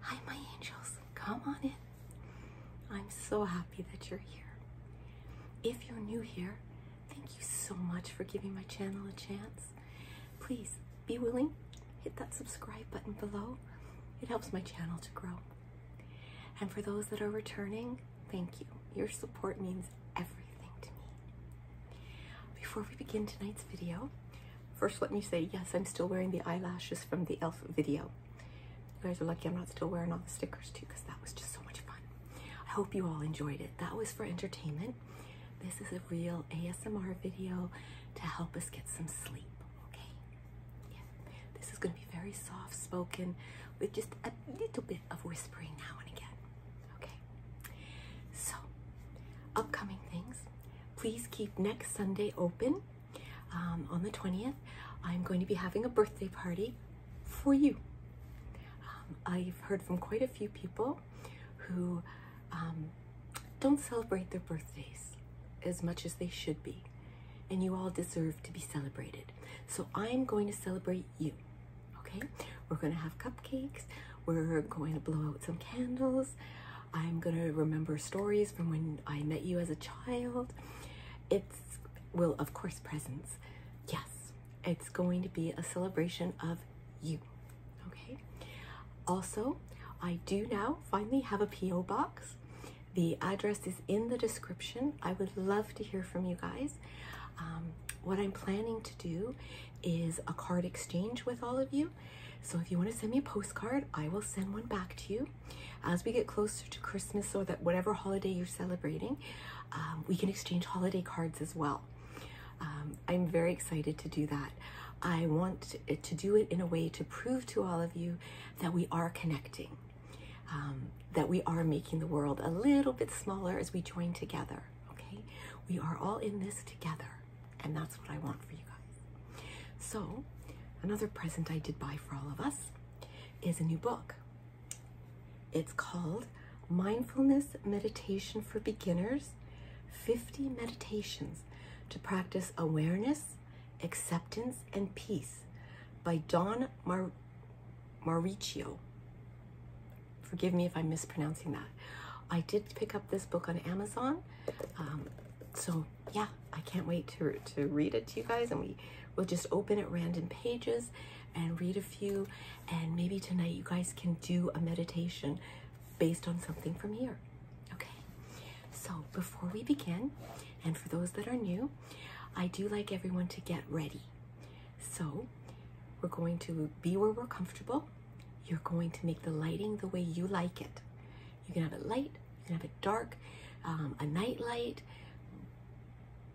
Hi, my angels. Come on in. I'm so happy that you're here. If you're new here, thank you so much for giving my channel a chance. Please be willing, hit that subscribe button below. It helps my channel to grow. And for those that are returning, thank you. Your support means everything to me. Before we begin tonight's video, First, let me say, yes, I'm still wearing the eyelashes from the e.l.f. video. You guys are lucky I'm not still wearing all the stickers too, because that was just so much fun. I hope you all enjoyed it. That was for entertainment. This is a real ASMR video to help us get some sleep, okay? Yeah, this is gonna be very soft spoken with just a little bit of whispering now and again, okay? So, upcoming things. Please keep next Sunday open um, on the 20th. I'm going to be having a birthday party for you. Um, I've heard from quite a few people who um, don't celebrate their birthdays as much as they should be. And you all deserve to be celebrated. So I'm going to celebrate you, okay? We're gonna have cupcakes. We're going to blow out some candles. I'm gonna remember stories from when I met you as a child. It's, well, of course, presents. Yes, it's going to be a celebration of you. Okay. Also, I do now finally have a P.O. box. The address is in the description. I would love to hear from you guys. Um, what I'm planning to do is a card exchange with all of you. So if you want to send me a postcard, I will send one back to you. As we get closer to Christmas or that whatever holiday you're celebrating, um, we can exchange holiday cards as well. Um, I'm very excited to do that. I want to do it in a way to prove to all of you that we are connecting, um, that we are making the world a little bit smaller as we join together, okay? We are all in this together. And that's what I want for you guys. So, another present I did buy for all of us is a new book. It's called Mindfulness Meditation for Beginners 50 Meditations to Practice Awareness, Acceptance, and Peace by Don Mar Mauricio. Forgive me if I'm mispronouncing that. I did pick up this book on Amazon. Um, so yeah, I can't wait to, to read it to you guys and we will just open at random pages and read a few and maybe tonight you guys can do a meditation based on something from here. Okay, so before we begin, and for those that are new, I do like everyone to get ready. So we're going to be where we're comfortable. You're going to make the lighting the way you like it. You can have it light, you can have it dark, um, a night light,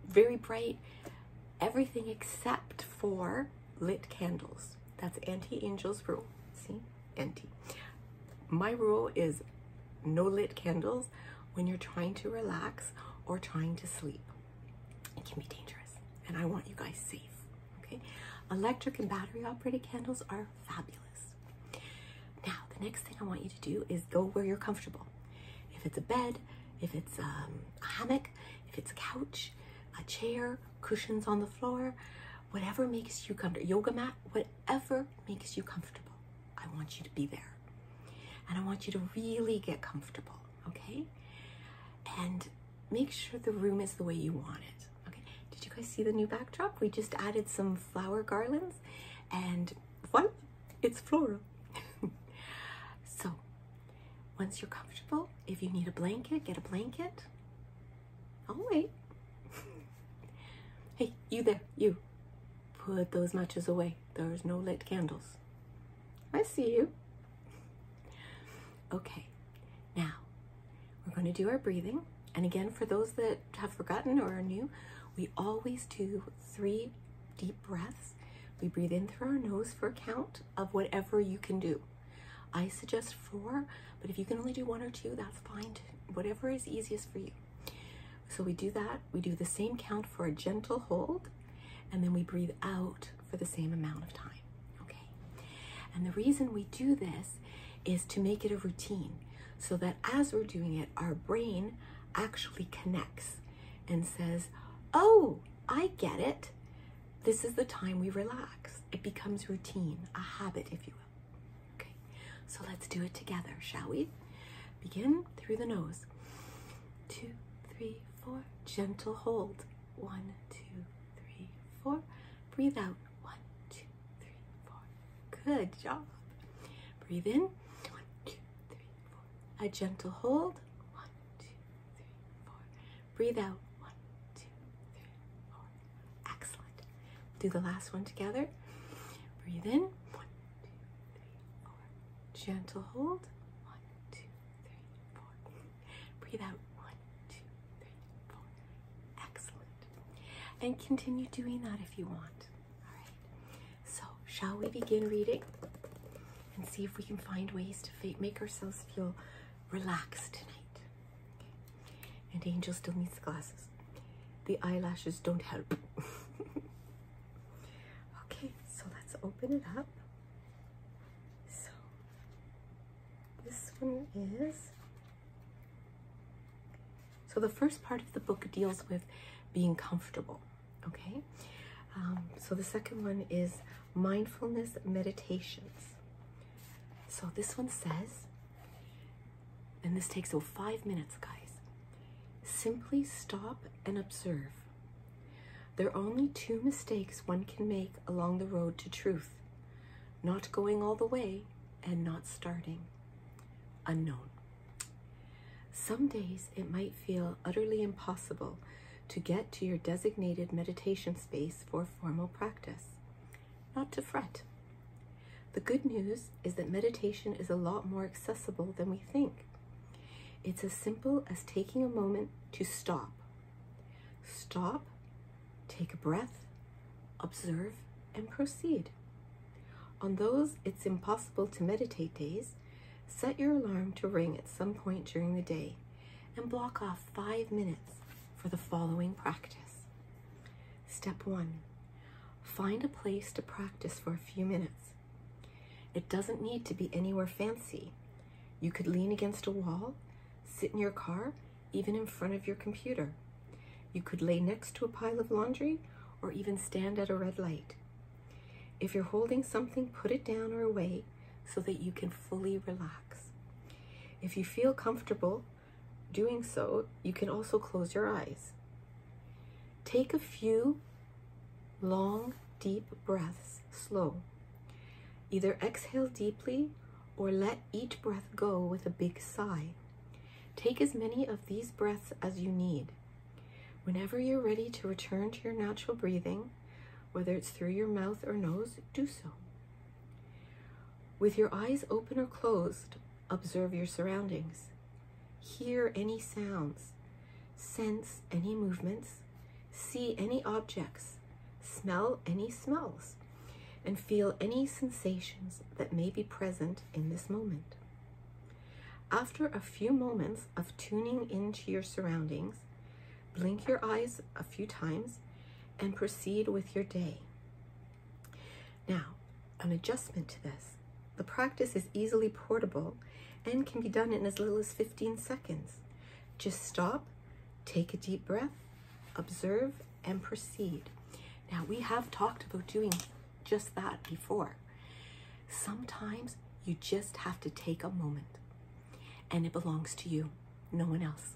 very bright, everything except for lit candles. That's anti Angel's rule. See, anti. My rule is no lit candles when you're trying to relax or trying to sleep. It can be dangerous, and I want you guys safe. Okay, electric and battery operated candles are fabulous. Now, the next thing I want you to do is go where you're comfortable. If it's a bed, if it's um, a hammock, if it's a couch, a chair, cushions on the floor, whatever makes you comfortable, yoga mat, whatever makes you comfortable, I want you to be there. And I want you to really get comfortable, okay? And make sure the room is the way you want it. Okay, did you guys see the new backdrop? We just added some flower garlands and what? it's floral. so once you're comfortable, if you need a blanket, get a blanket. I'll wait. hey, you there, you. Put those matches away. There's no lit candles. I see you. Okay, now, we're going to do our breathing. And again, for those that have forgotten or are new, we always do three deep breaths. We breathe in through our nose for a count of whatever you can do. I suggest four, but if you can only do one or two, that's fine. Whatever is easiest for you. So we do that. We do the same count for a gentle hold, and then we breathe out for the same amount of time. Okay. And the reason we do this is to make it a routine so that as we're doing it, our brain actually connects and says, Oh, I get it. This is the time we relax. It becomes routine, a habit, if you will. Okay, so let's do it together, shall we? Begin through the nose. Two, three, four. Gentle hold. One, two, three, four. Breathe out. One, two, three, four. Good job. Breathe in. One, two, three, four. A gentle hold. One, two, three, four. Breathe out. One, two, three, four. Excellent. Do the last one together. Breathe in. One, two, three, four. Gentle hold. One, two, three, four. Breathe out. One, two, Excellent. And continue doing that if you want. All right. So, shall we begin reading and see if we can find ways to make ourselves feel relaxed tonight? And Angel still needs glasses. The eyelashes don't help. okay, so let's open it up. So, this one is so the first part of the book deals with being comfortable, okay? Um, so the second one is mindfulness meditations. So this one says, and this takes oh, five minutes, guys. Simply stop and observe. There are only two mistakes one can make along the road to truth not going all the way and not starting. Unknown. Some days it might feel utterly impossible to get to your designated meditation space for formal practice. Not to fret. The good news is that meditation is a lot more accessible than we think. It's as simple as taking a moment to stop. Stop Take a breath, observe, and proceed. On those it's impossible to meditate days, set your alarm to ring at some point during the day and block off five minutes for the following practice. Step one, find a place to practice for a few minutes. It doesn't need to be anywhere fancy. You could lean against a wall, sit in your car, even in front of your computer. You could lay next to a pile of laundry or even stand at a red light. If you're holding something, put it down or away so that you can fully relax. If you feel comfortable doing so, you can also close your eyes. Take a few long, deep breaths, slow. Either exhale deeply or let each breath go with a big sigh. Take as many of these breaths as you need. Whenever you're ready to return to your natural breathing, whether it's through your mouth or nose, do so. With your eyes open or closed, observe your surroundings. Hear any sounds, sense any movements, see any objects, smell any smells, and feel any sensations that may be present in this moment. After a few moments of tuning into your surroundings, blink your eyes a few times and proceed with your day. Now, an adjustment to this. The practice is easily portable and can be done in as little as 15 seconds. Just stop Take a deep breath, observe, and proceed. Now, we have talked about doing just that before. Sometimes you just have to take a moment, and it belongs to you, no one else.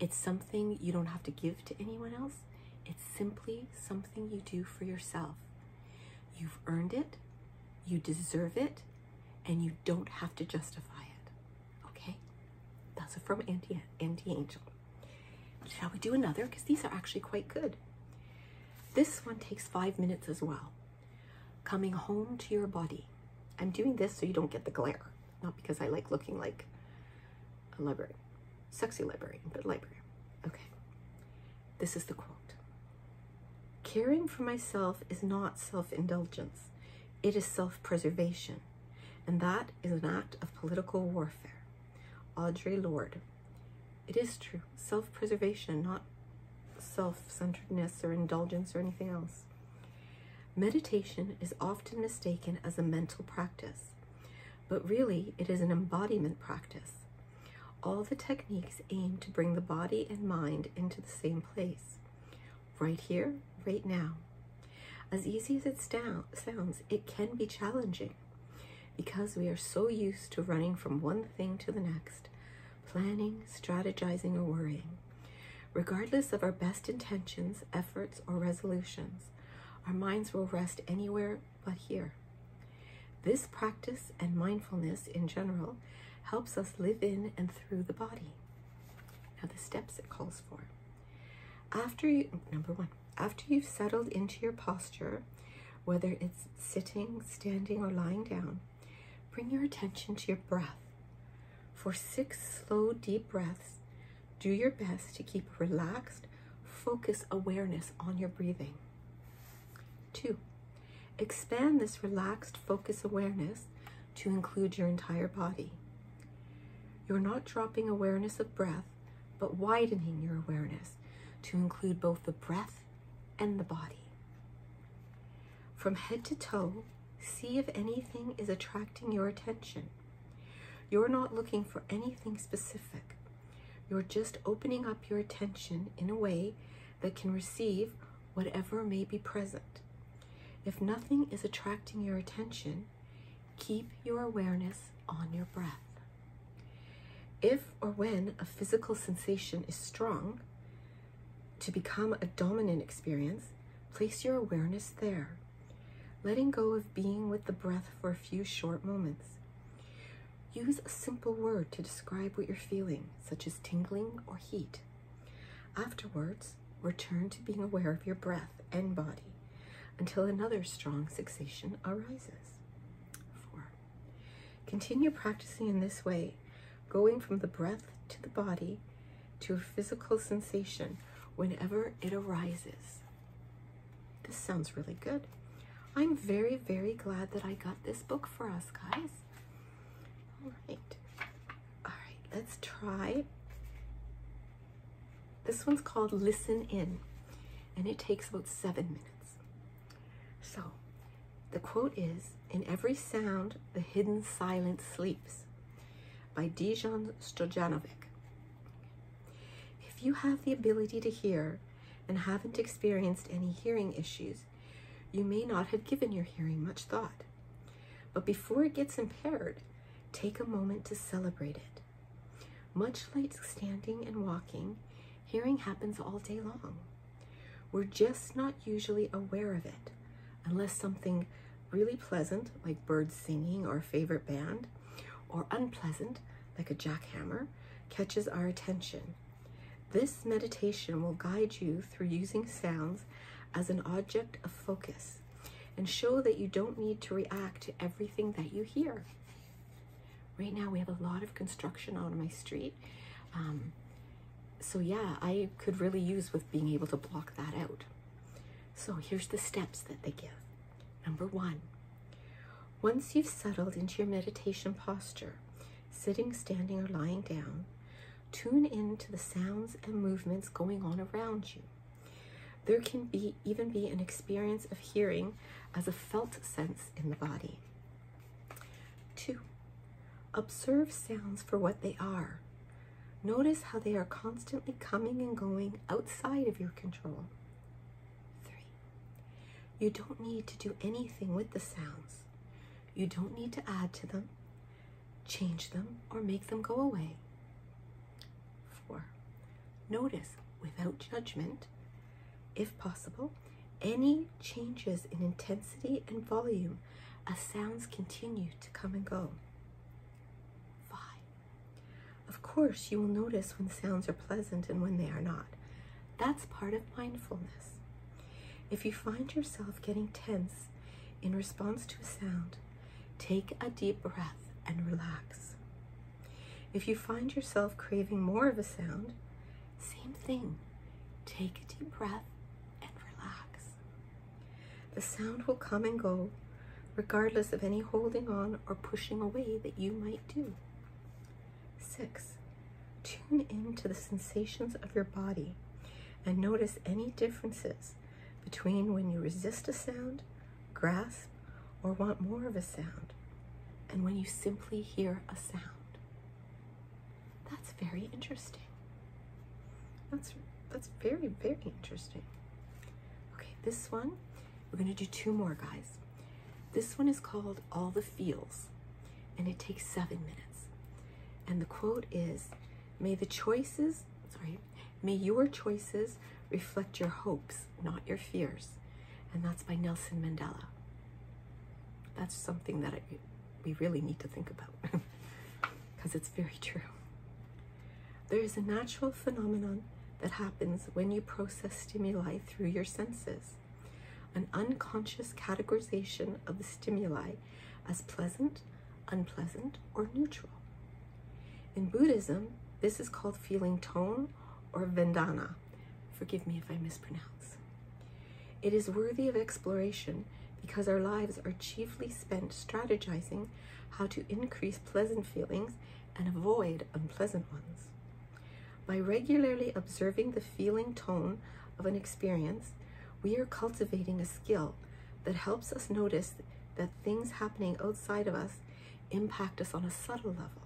It's something you don't have to give to anyone else. It's simply something you do for yourself. You've earned it, you deserve it, and you don't have to justify it. Okay, that's from Auntie, Auntie Angel. Shall we do another? Because these are actually quite good. This one takes five minutes as well. Coming home to your body. I'm doing this so you don't get the glare, not because I like looking like a librarian, sexy librarian, but librarian. Okay, this is the quote. Caring for myself is not self-indulgence. It is self-preservation and that is an act of political warfare. Audrey Lord. It is true, self preservation, not self centeredness or indulgence or anything else. Meditation is often mistaken as a mental practice, but really it is an embodiment practice. All the techniques aim to bring the body and mind into the same place right here, right now. As easy as it sounds, it can be challenging because we are so used to running from one thing to the next, planning, strategizing, or worrying. Regardless of our best intentions, efforts, or resolutions, our minds will rest anywhere but here. This practice and mindfulness in general helps us live in and through the body. Now, the steps it calls for. After you, number one, after you've settled into your posture, whether it's sitting, standing, or lying down, bring your attention to your breath. For six slow, deep breaths, do your best to keep relaxed, focus awareness on your breathing. Two, expand this relaxed focus awareness to include your entire body. You're not dropping awareness of breath, but widening your awareness to include both the breath and the body. From head to toe, see if anything is attracting your attention. You're not looking for anything specific. You're just opening up your attention in a way that can receive whatever may be present. If nothing is attracting your attention, keep your awareness on your breath. If or when a physical sensation is strong, to become a dominant experience, place your awareness there, letting go of being with the breath for a few short moments. Use a simple word to describe what you're feeling, such as tingling or heat. Afterwards, return to being aware of your breath and body until another strong sensation arises. Four, continue practicing in this way, going from the breath to the body to a physical sensation whenever it arises. This sounds really good. I'm very, very glad that I got this book for us, guys. All right. All right, let's try. This one's called Listen In, and it takes about seven minutes. So the quote is, in every sound, the hidden silence sleeps by Dijon Stojanovic. If you have the ability to hear and haven't experienced any hearing issues, you may not have given your hearing much thought. But before it gets impaired, take a moment to celebrate it. Much like standing and walking, hearing happens all day long. We're just not usually aware of it, unless something really pleasant, like birds singing or a favorite band, or unpleasant, like a jackhammer, catches our attention. This meditation will guide you through using sounds as an object of focus and show that you don't need to react to everything that you hear. Right now, we have a lot of construction on my street. Um, so, yeah, I could really use with being able to block that out. So, here's the steps that they give. Number one, once you've settled into your meditation posture, sitting, standing, or lying down, tune in to the sounds and movements going on around you. There can be even be an experience of hearing as a felt sense in the body. Two, observe sounds for what they are. Notice how they are constantly coming and going outside of your control. Three, you don't need to do anything with the sounds. You don't need to add to them change them, or make them go away. 4. Notice without judgment, if possible, any changes in intensity and volume as sounds continue to come and go. 5. Of course, you will notice when sounds are pleasant and when they are not. That's part of mindfulness. If you find yourself getting tense in response to a sound, Take a deep breath and relax. If you find yourself craving more of a sound, same thing. Take a deep breath and relax. The sound will come and go, regardless of any holding on or pushing away that you might do. Six, tune in to the sensations of your body and notice any differences between when you resist a sound, grasp, or want more of a sound, and when you simply hear a sound. That's very interesting. That's, that's very, very interesting. Okay, this one, we're gonna do two more, guys. This one is called All the Feels, and it takes seven minutes. And the quote is, may the choices, sorry, May your choices reflect your hopes, not your fears. And that's by Nelson Mandela. That's something that we really need to think about because it's very true. There is a natural phenomenon that happens when you process stimuli through your senses. An unconscious categorization of the stimuli as pleasant, unpleasant, or neutral. In Buddhism, this is called feeling tone or Vedana. Forgive me if I mispronounce. It is worthy of exploration because our lives are chiefly spent strategizing how to increase pleasant feelings and avoid unpleasant ones. By regularly observing the feeling tone of an experience, we are cultivating a skill that helps us notice that things happening outside of us impact us on a subtle level.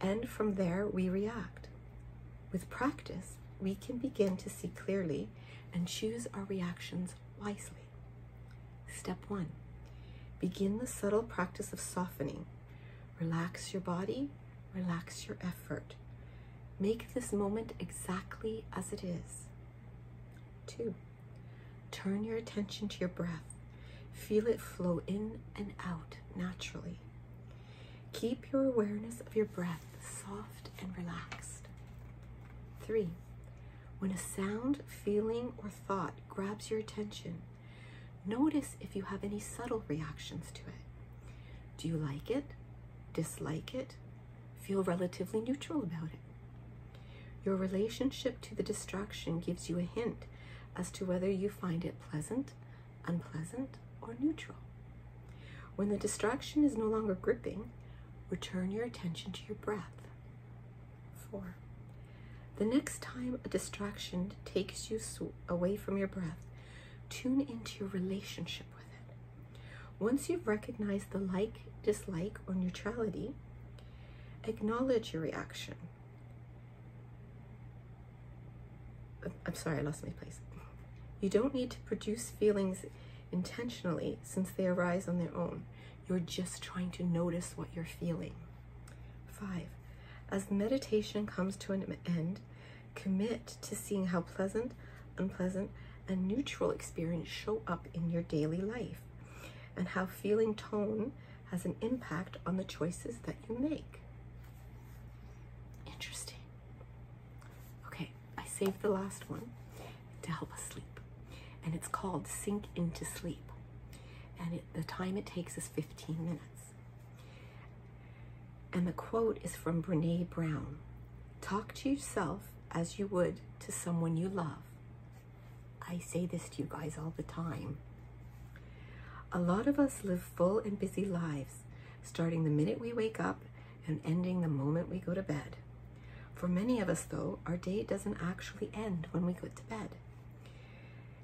And from there, we react. With practice, we can begin to see clearly and choose our reactions wisely. Step one, begin the subtle practice of softening. Relax your body, relax your effort. Make this moment exactly as it is. Two, turn your attention to your breath. Feel it flow in and out naturally. Keep your awareness of your breath soft and relaxed. Three, when a sound, feeling, or thought grabs your attention, notice if you have any subtle reactions to it. Do you like it, dislike it, Feel relatively neutral about it. Your relationship to the distraction gives you a hint as to whether you find it pleasant, unpleasant, or neutral. When the distraction is no longer gripping, return your attention to your breath. Four, the next time a distraction takes you away from your breath, tune into your relationship with it. Once you've recognized the like, dislike, or neutrality, acknowledge your reaction. I'm sorry, I lost my place. You don't need to produce feelings intentionally since they arise on their own. You're just trying to notice what you're feeling. Five, as meditation comes to an end, commit to seeing how pleasant, unpleasant, a neutral experience show up in your daily life, and how feeling tone has an impact on the choices that you make. Interesting. Okay, I saved the last one to help us sleep, and it's called Sink into Sleep. And the time it takes is 15 minutes. And the quote is from Brene Brown Talk to yourself as you would to someone you love. I say this to you guys all the time. A lot of us live full and busy lives, starting the minute we wake up and ending the moment we go to bed. For many of us, though, our day doesn't actually end when we go to bed.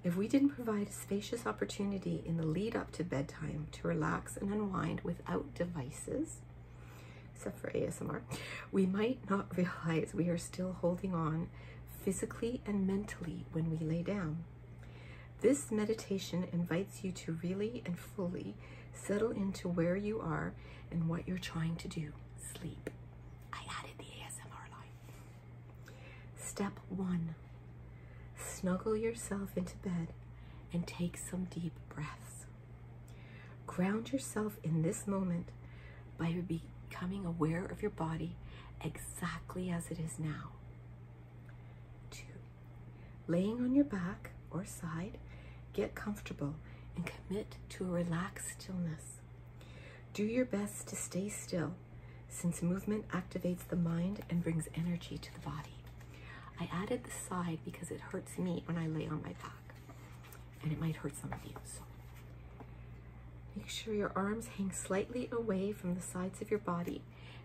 If we didn't provide a spacious opportunity in the lead up to bedtime to relax and unwind without devices, except for ASMR, we might not realize we are still holding on physically and mentally when we lay down. This meditation invites you to really and fully settle into where you are and what you're trying to do, sleep. I added the ASMR line. Step one, snuggle yourself into bed and take some deep breaths. Ground yourself in this moment by becoming aware of your body exactly as it is now. Two, laying on your back or side, get comfortable and commit to a relaxed stillness. Do your best to stay still since movement activates the mind and brings energy to the body. I added the side because it hurts me when I lay on my back. And it might hurt some of you. So make sure your arms hang slightly away from the sides of your body.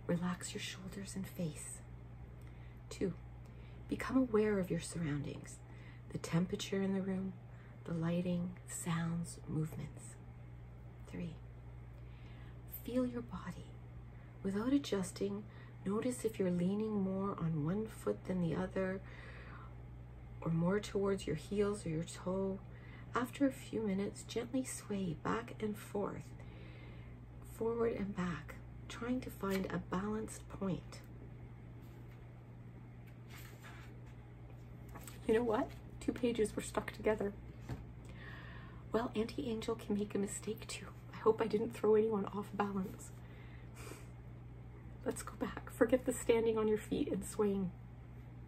Relax your shoulders and face. Two, become aware of your surroundings, the temperature in the room, the lighting, sounds, movements. Three, feel your body without adjusting Notice if you're leaning more on one foot than the other or more towards your heels or your toe. After a few minutes, gently sway back and forth, forward and back, trying to find a balanced point. You know what? Two pages were stuck together. Well, Auntie Angel can make a mistake too. I hope I didn't throw anyone off balance. Let's go back. Forget the standing on your feet and swaying.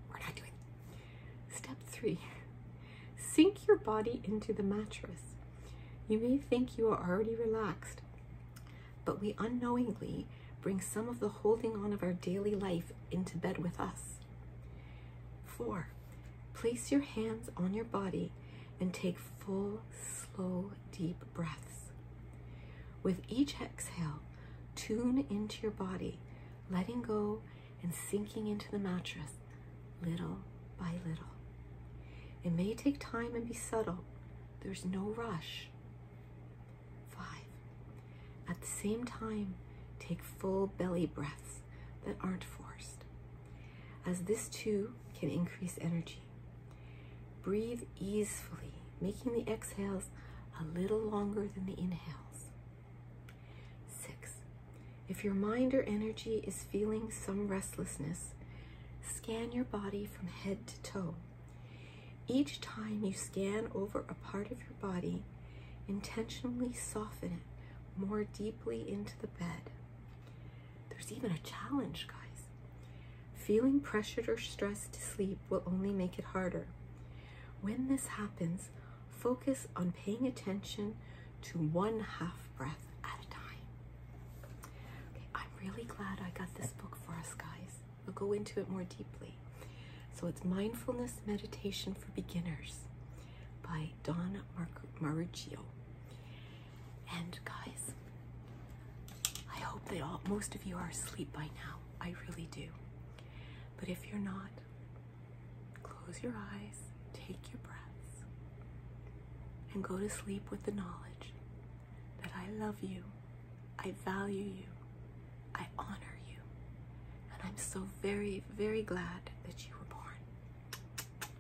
We're not doing it. Step three, sink your body into the mattress. You may think you are already relaxed, but we unknowingly bring some of the holding on of our daily life into bed with us. Four, place your hands on your body and take full, slow deep breaths. With each exhale, tune into your body, letting go and sinking into the mattress little by little. It may take time and be subtle. There's no rush. Five. At the same time, take full belly breaths that aren't forced, as this too can increase energy. Breathe easily, making the exhales a little longer than the inhales. Six, if your mind or energy is feeling some restlessness, scan your body from head to toe. Each time you scan over a part of your body, intentionally soften it more deeply into the bed. There's even a challenge, guys. Feeling pressured or stressed to sleep will only make it harder. When this happens, focus on paying attention to one half breath at a time. Okay, I'm really glad I got this book for us, guys. We'll go into it more deeply. So it's Mindfulness Meditation for Beginners by Don Marucci. And guys, I hope that all, most of you are asleep by now. I really do. But if you're not, close your eyes, take your breaths, and go to sleep with the knowledge that I love you, I value you, I honor you, and I'm so very, very glad that you were born.